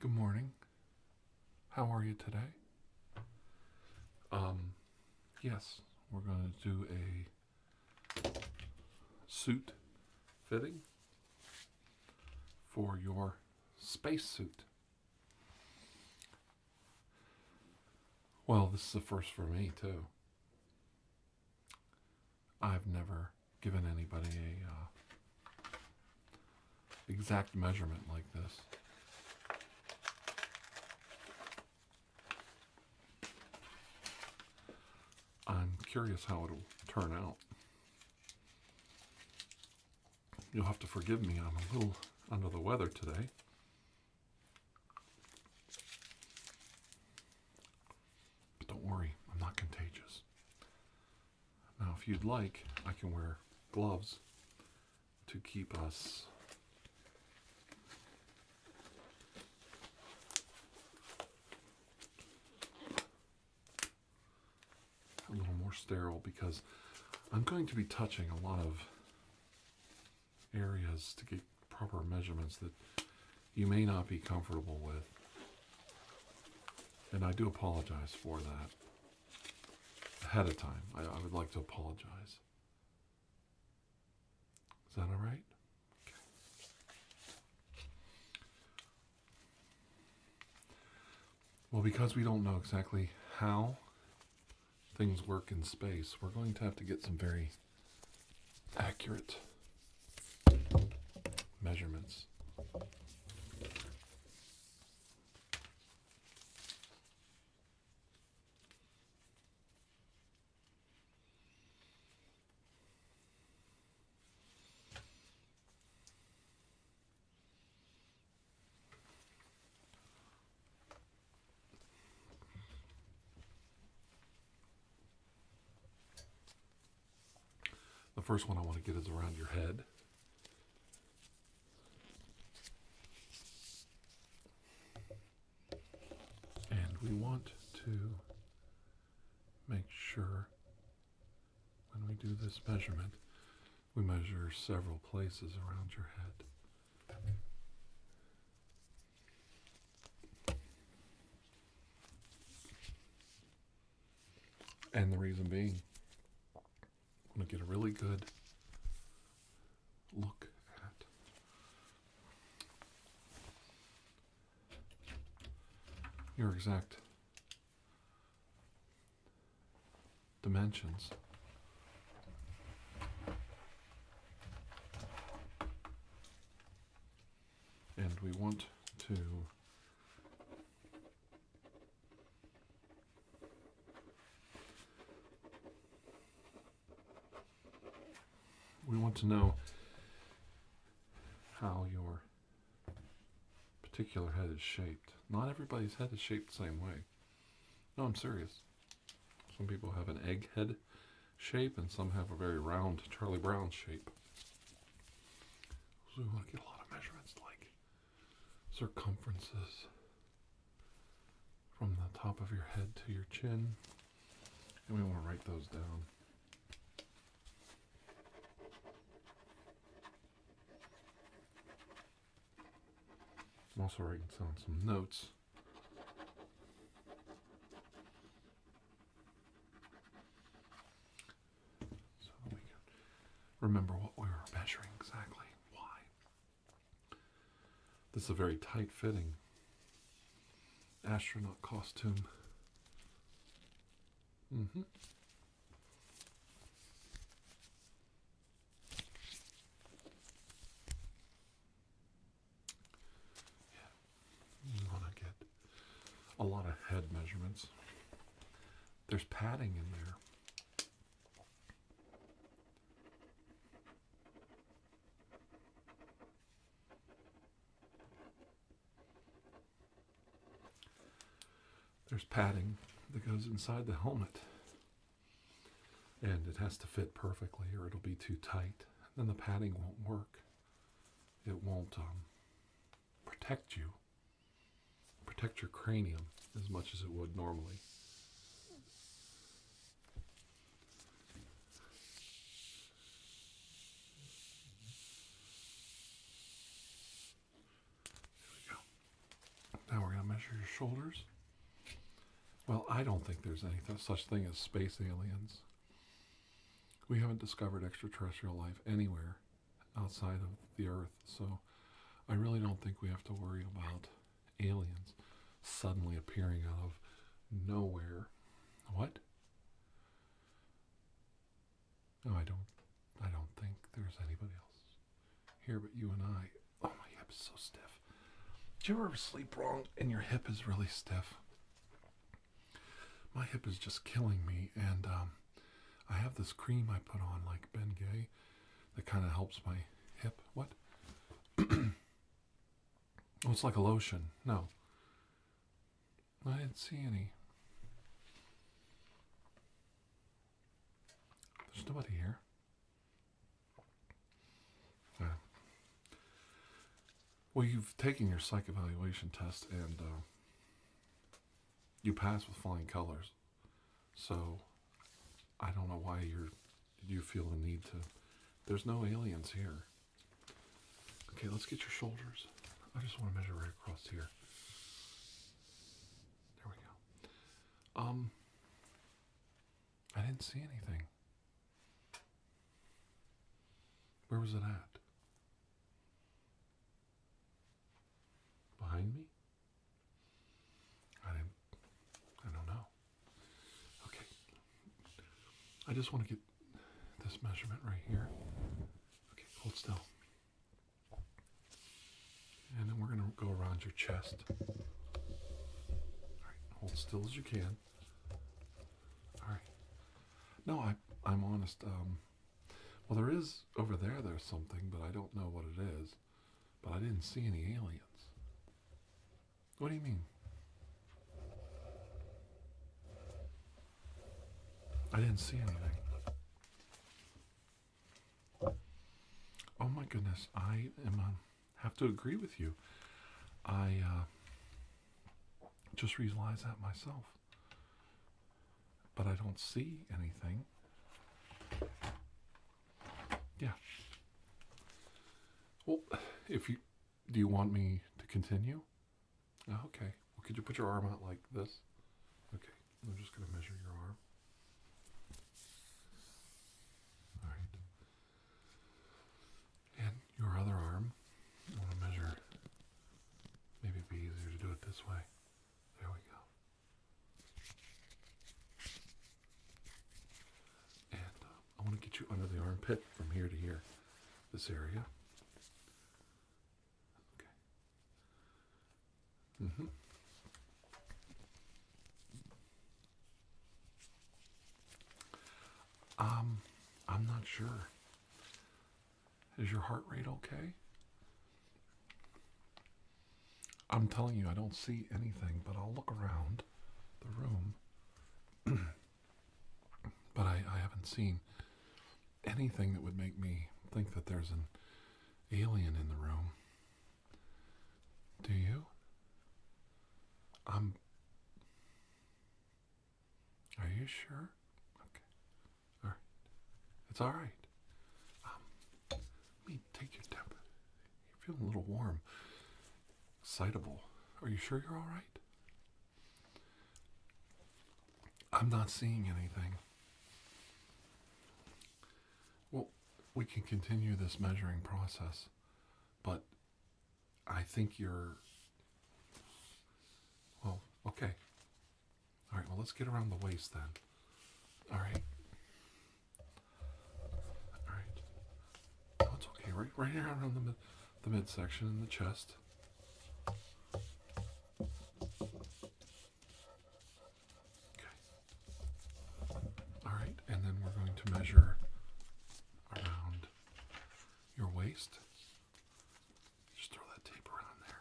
Good morning. How are you today? Um, yes, we're going to do a suit fitting for your spacesuit. Well, this is the first for me, too. I've never given anybody a uh, exact measurement like this. I'm curious how it'll turn out. You'll have to forgive me, I'm a little under the weather today. But Don't worry, I'm not contagious. Now, if you'd like, I can wear gloves to keep us a little more sterile because I'm going to be touching a lot of areas to get proper measurements that you may not be comfortable with. And I do apologize for that ahead of time. I, would like to apologize. Is that all right? Well, because we don't know exactly how things work in space, we're going to have to get some very accurate measurements. The first one I want to get is around your head. And we want to make sure when we do this measurement, we measure several places around your head. And the reason being, I want to get a really good look at your exact dimensions and we want to we want to know how your particular head is shaped. Not everybody's head is shaped the same way. No, I'm serious. Some people have an egg head shape and some have a very round Charlie Brown shape. So we want to get a lot of measurements like circumferences from the top of your head to your chin. And we want to write those down. I'm also writing down some notes so we can remember what we were measuring exactly. Why? This is a very tight fitting astronaut costume. Mm hmm. You want to get a lot of head measurements. There's padding in there. There's padding that goes inside the helmet. And it has to fit perfectly or it'll be too tight. and the padding won't work it won't um, protect you, protect your cranium as much as it would normally. Now we're going to measure your shoulders. Well, I don't think there's any such thing as space aliens. We haven't discovered extraterrestrial life anywhere outside of the Earth, so I really don't think we have to worry about aliens suddenly appearing out of nowhere. What? No, I don't. I don't think there's anybody else here but you and I. Oh, my hip is so stiff. Did you ever sleep wrong and your hip is really stiff? my hip is just killing me, and um, I have this cream I put on, like Ben Gay, that kind of helps my hip. What? Oh, it's like a lotion. No, I didn't see any. There's nobody here. Well, you've taken your psych evaluation test and uh, you passed with flying colors. So I don't know why you're you feel the need to. There's no aliens here. Okay, let's get your shoulders. I just want to measure right across here. There we go. Um, I didn't see anything. Where was it at? Behind me? I didn't. I don't know. Okay. I just want to get this measurement right here. Okay, hold still. And then we're going to go around your chest. All right, hold still as you can. All right. No, I I'm honest. Um, well, there is over there. There's something, but I don't know what it is. But I didn't see any aliens. What do you mean? I didn't see anything. Oh my goodness, I am um, have to agree with you. I uh, just realize that myself. But I don't see anything. Yeah. Well, if you do you want me to continue? Oh, okay. Well, could you put your arm out like this? Okay. I'm just going to measure your arm. All right. And your other arm, I want to measure. Maybe it'd be easier to do it this way. There we go. And uh, I want to get you under the armpit from here to here, this area. Okay. Mm hmm. Um, I'm not sure. Is your heart rate okay? I'm telling you, I don't see anything, but I'll look around the room. but I, I haven't seen anything that would make me think that there's an alien in the room. Do you? I'm. Are you sure? Okay. All right. It's all right. Um, let me take your temp. You're feeling a little warm, excitable. Are you sure you're all right? I'm not seeing anything. Well, we can continue this measuring process, but I think you're. Well, okay. All right, well, let's get around the waist then. All right. All right. No, it's okay. Right, right here around the, mid, the midsection and the chest. Okay. All right, and then we're going to measure around your waist. Just throw that tape around there.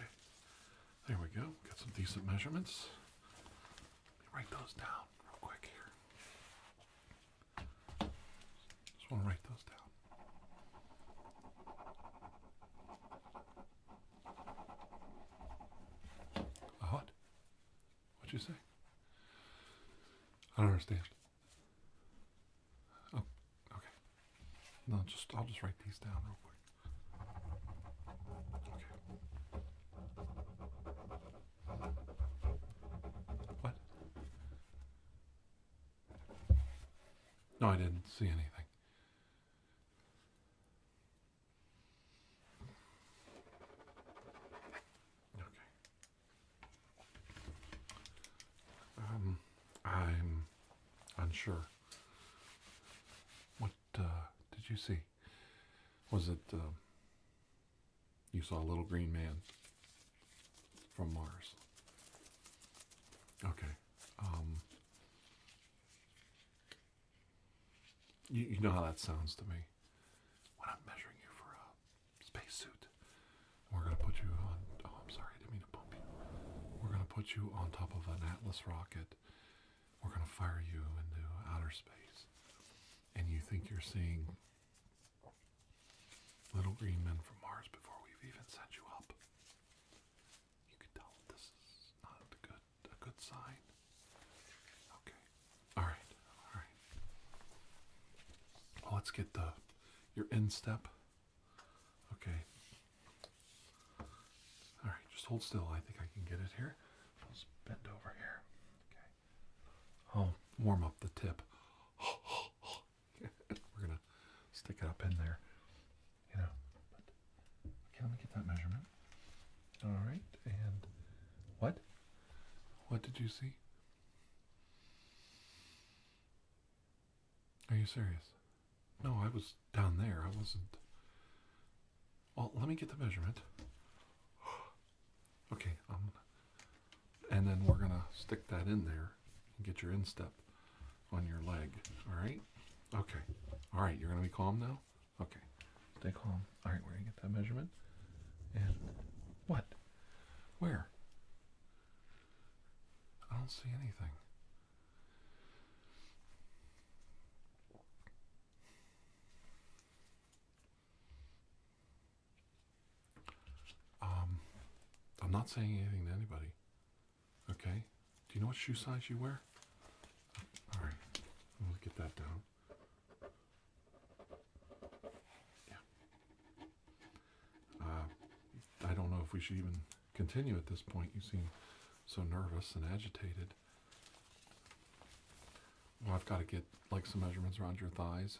Okay, there we go. Got some decent measurements. write those down real quick here. Just want to write those down what? What'd you say? I don't understand. Oh, okay. No, just I'll just write these down real quick. Okay. What? No, I didn't see anything. Okay. Um, I'm unsure. What uh, did you see? Was it uh, you saw a little green man from Mars? Okay. Um, you, know how that sounds to me. When I'm measuring you for a spacesuit, we're going to put you on. Oh, I'm sorry, I mean to bump you. We're going to put you on top of an Atlas rocket. We're going to fire you into outer space. And you think you're seeing little green men from Mars before we've even sent you up. You can tell this is not a good a good sign. Okay. Alright, alright. let's get the your instep. Okay. Alright, just hold still. I think I can get it here. Let's bend over here. Okay. I'll oh, warm up the tip. Oh, we're gonna stick it up in there, you know. okay, let me get that measurement. All right, and what? What did you see? Are you serious? No, I was down there. I wasn't. Well, let me get the measurement. okay, um, and then we're gonna stick that in there and get your instep on your leg. All right? Okay. All right. You're going to be calm now? Okay. Stay calm. All Where We're going get that measurement. And what? Where? I don't see anything. Um, I'm not saying anything to anybody. Okay? Do you know what shoe size you wear? All right. I'm get that down. Yeah. Uh, I don't know if we should even continue at this point. You seem so nervous and agitated. Well, I've got to get like some measurements around your thighs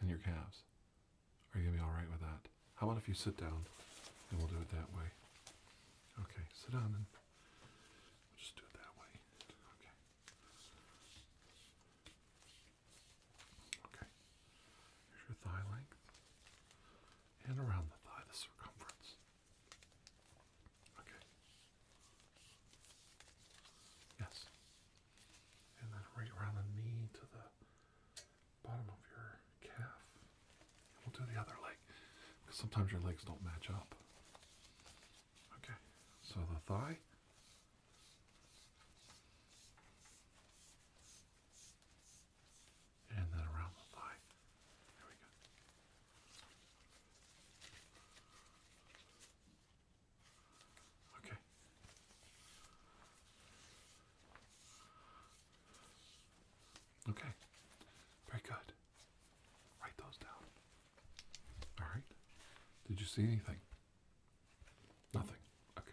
and your calves. Are you going to be all right with that? How about if you sit down and we'll do it that way? Okay, sit down and just do it that way. Okay. Okay. Here's your thigh length and around the thigh, the circumference. Okay. Yes. And then right around the knee to the bottom of your calf. We'll do the other leg because sometimes your legs don't match up. Okay, so the thigh. And then around the thigh. There we go. Okay. Okay, very good. Write those down. All right. Did you see anything? Nothing. Okay.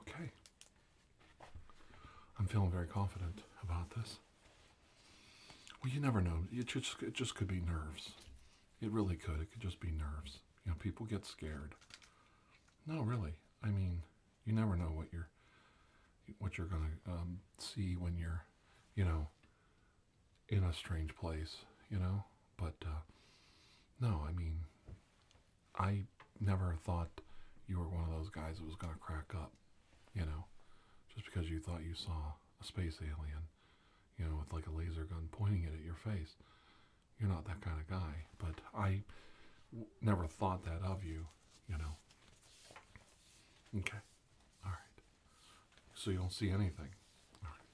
Okay. I'm feeling very confident about this. Well, you never know. It just, could be nerves. It really could. It could just be nerves. You know, people get scared. No, really. I mean, you never know what you're what you're gonna um, see when you're, you know, in a strange place, you know. But uh, no, I mean, I never thought you were one of those guys that was going to crack up, you know, just because you thought you saw a space alien, you know, with like a laser gun pointing it at your face. You're not that kind of guy, but I never thought that of you, you know. Okay. All right. So you don't see anything. All right.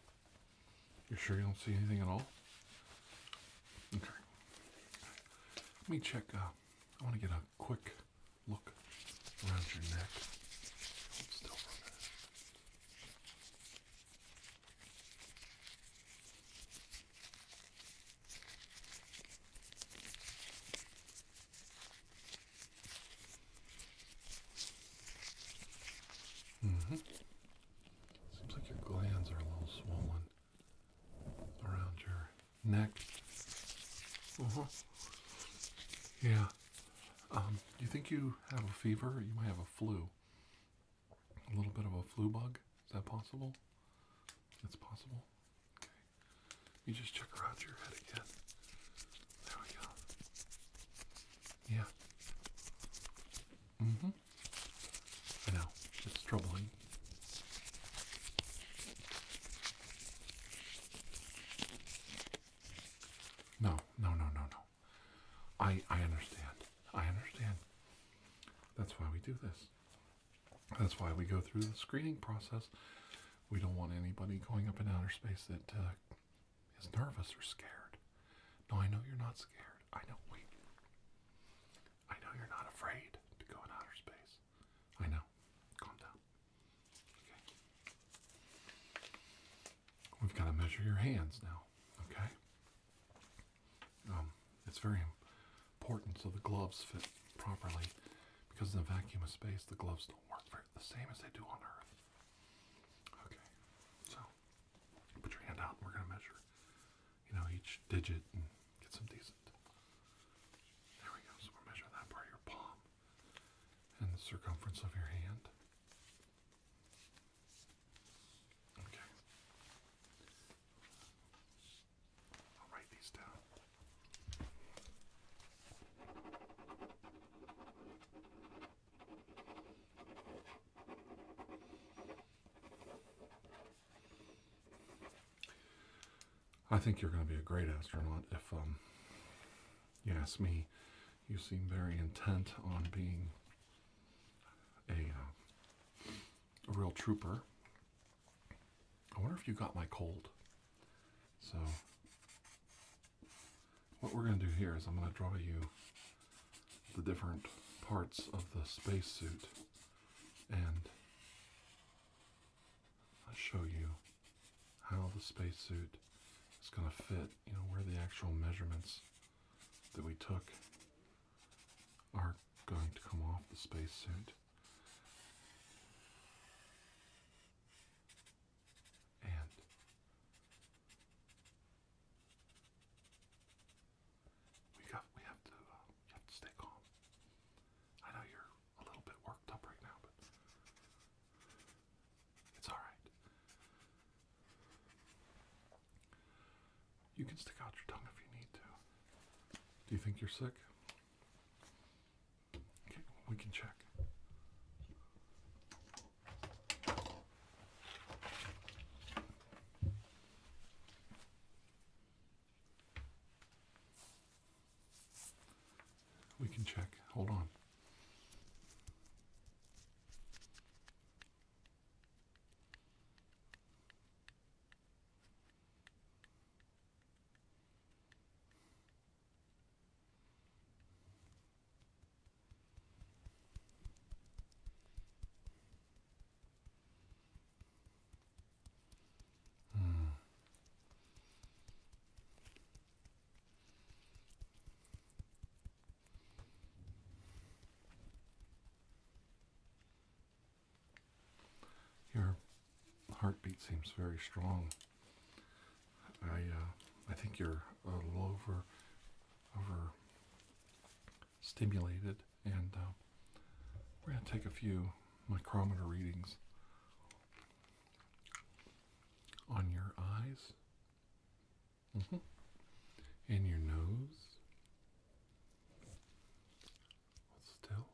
You sure you don't see anything at all? Okay. Let me check. Uh, I want to get a quick look around your neck. still Mm-hmm. Seems like your glands are a little swollen around your neck. Uh-huh. Yeah. Um, you think you have a fever? You might have a flu. A little bit of a flu bug? Is that possible? It's possible. Okay. You just check around your head again. There we go. Yeah. Mm hmm. I know. It's troubling. No, no, no, no, no. I, I understand. I understand. That's why we do this. That's why we go through the screening process. We don't want anybody going up in outer space that uh, is nervous or scared. No, I know you're not scared. I know we. I know you're not afraid to go in outer space. I know. Calm down. Okay. We've got to measure your hands now. Okay. Um, it's very important so the gloves fit properly because in the vacuum of space the gloves don't work very, the same as they do on Earth. Okay, so put your hand out and we're going to measure, you know, each digit and get some decent. There we go. So we'll measure that part of your palm and the circumference of your hand. Okay. I'll write these down. I think you're going to be a great astronaut if um, you ask me. You seem very intent on being a, a uh, real trooper. I wonder if you got my cold. So what we're going to do here is I'm going to draw you the different parts of the spacesuit and I'll show you how the spacesuit is going to fit, you know, where the actual measurements that we took are going to come off the spacesuit and we got we have to uh, have to stay calm. I know you're a little bit worked up right now, but it's all right. You can stick out your tongue if you need to. Do you think you're sick? we can check. We can check. Hold on. Your heartbeat seems very strong. I uh, I think you're a little over over stimulated, and uh, we're gonna take a few micrometer readings on your eyes, mm-hmm. and your nose. Still,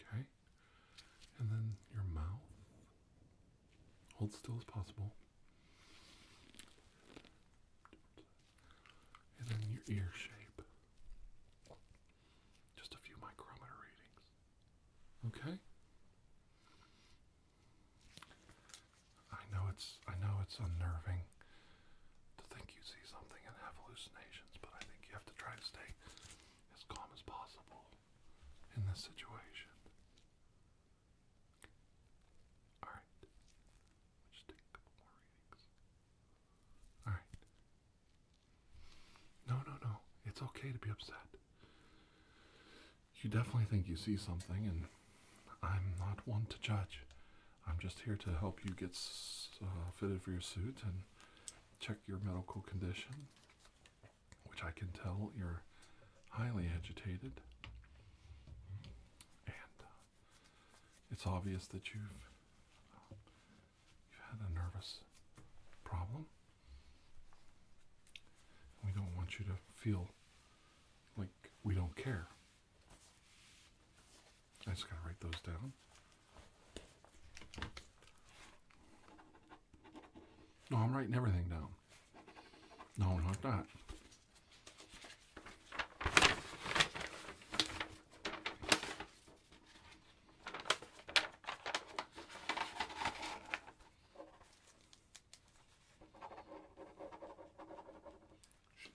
okay and then your mouth. Hold still as possible. And then your ear shape. Just a few micrometer readings. Okay? I know it's I know it's unnerving to think you see something and have hallucinations, but I think you have to try to stay as calm as possible in this situation. Alright. We'll take a couple more readings. Alright. No, no, no. It's okay to be upset. You definitely think you see something, and I'm not one to judge. I'm just here to help you get uh, fitted for your suit and check your medical condition which I can tell you're highly agitated. And uh, it's obvious that you've you've had a nervous problem. We don't want you to feel like we don't care. I just gotta write those down. No, I'm writing everything down. No, not that.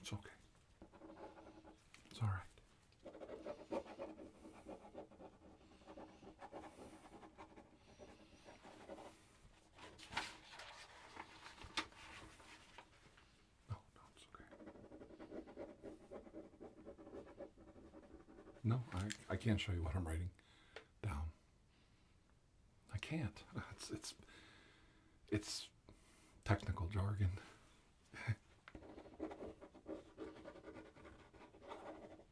It's okay. It's all right no, it's okay. No, I, I can't show you what I'm writing down. I can't. It's, it's, it's technical jargon.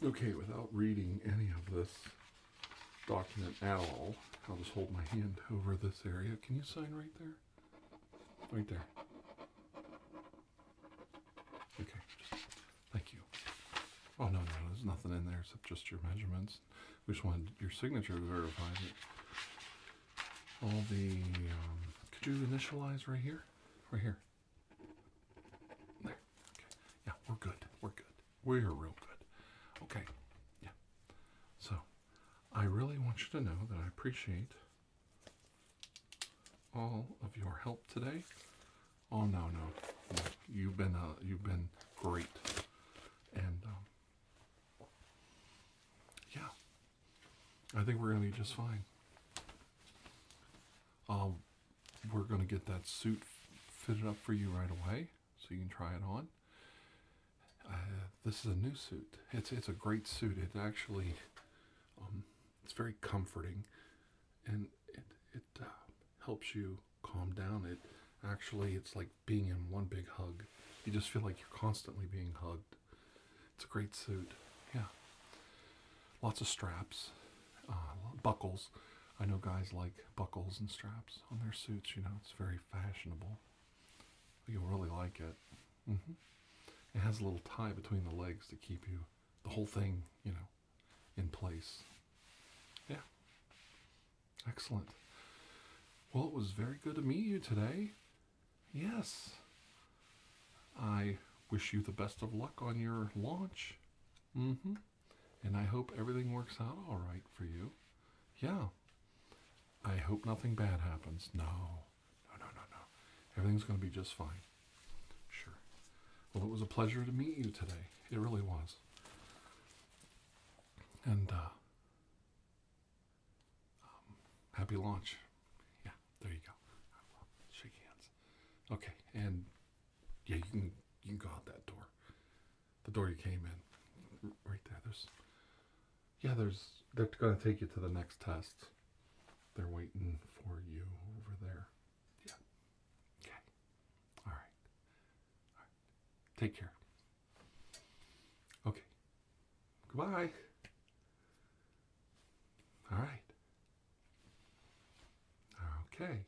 Okay, without reading any of this, document at all. I'll just hold my hand over this area. Can you sign right there? Right there. Okay, thank you. Oh, no, no, there's nothing in there except just your measurements. We just wanted your signature to verify that all the, um, could you initialize right here? Right here. There, okay. Yeah, we're good, we're good. We're real good. Okay. Yeah. So I really want you to know that I appreciate all of your help today. Oh no, no. You've been uh, you've been great. And um, yeah. I think we're gonna be just fine. Um, we're gonna get that suit fitted up for you right away so you can try it on. Uh, this is a new suit. It's it's a great suit. It actually, um, it's very comforting, and it it uh, helps you calm down. It actually it's like being in one big hug. You just feel like you're constantly being hugged. It's a great suit. Yeah. Lots of straps, uh, buckles. I know guys like buckles and straps on their suits, you know, it's very fashionable. You'll really like it. Mm-hmm. It has a little tie between the legs to keep you, the whole thing, you know, in place. Yeah. Excellent. Well, it was very good to meet you today. Yes. I wish you the best of luck on your launch. Mm hmm and I hope everything works out all right for you. Yeah. I hope nothing bad happens. No, no, no, no, no. Everything's going to be just fine. Sure. Well, it was a pleasure to meet you today. It really was. And, uh, um, happy launch. Yeah, there you go. Shake hands. Okay, and yeah, you can you can go out that door the door you came in. Right there. There's. Yeah, there's. They're going to take you to the next test. They're waiting for you over there. Yeah. Okay. All right. Take care. Okay. Goodbye. All right. Okay.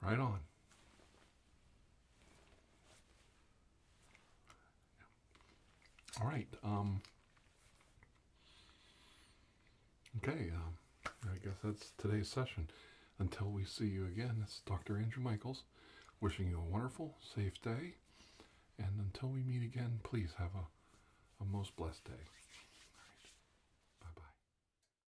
Right on. All right. Um, okay. Um, I guess that's today's session. Until we see you again, it's Dr. Andrew Michaels wishing you a wonderful, safe day. And until we meet again, please have a, a most blessed day.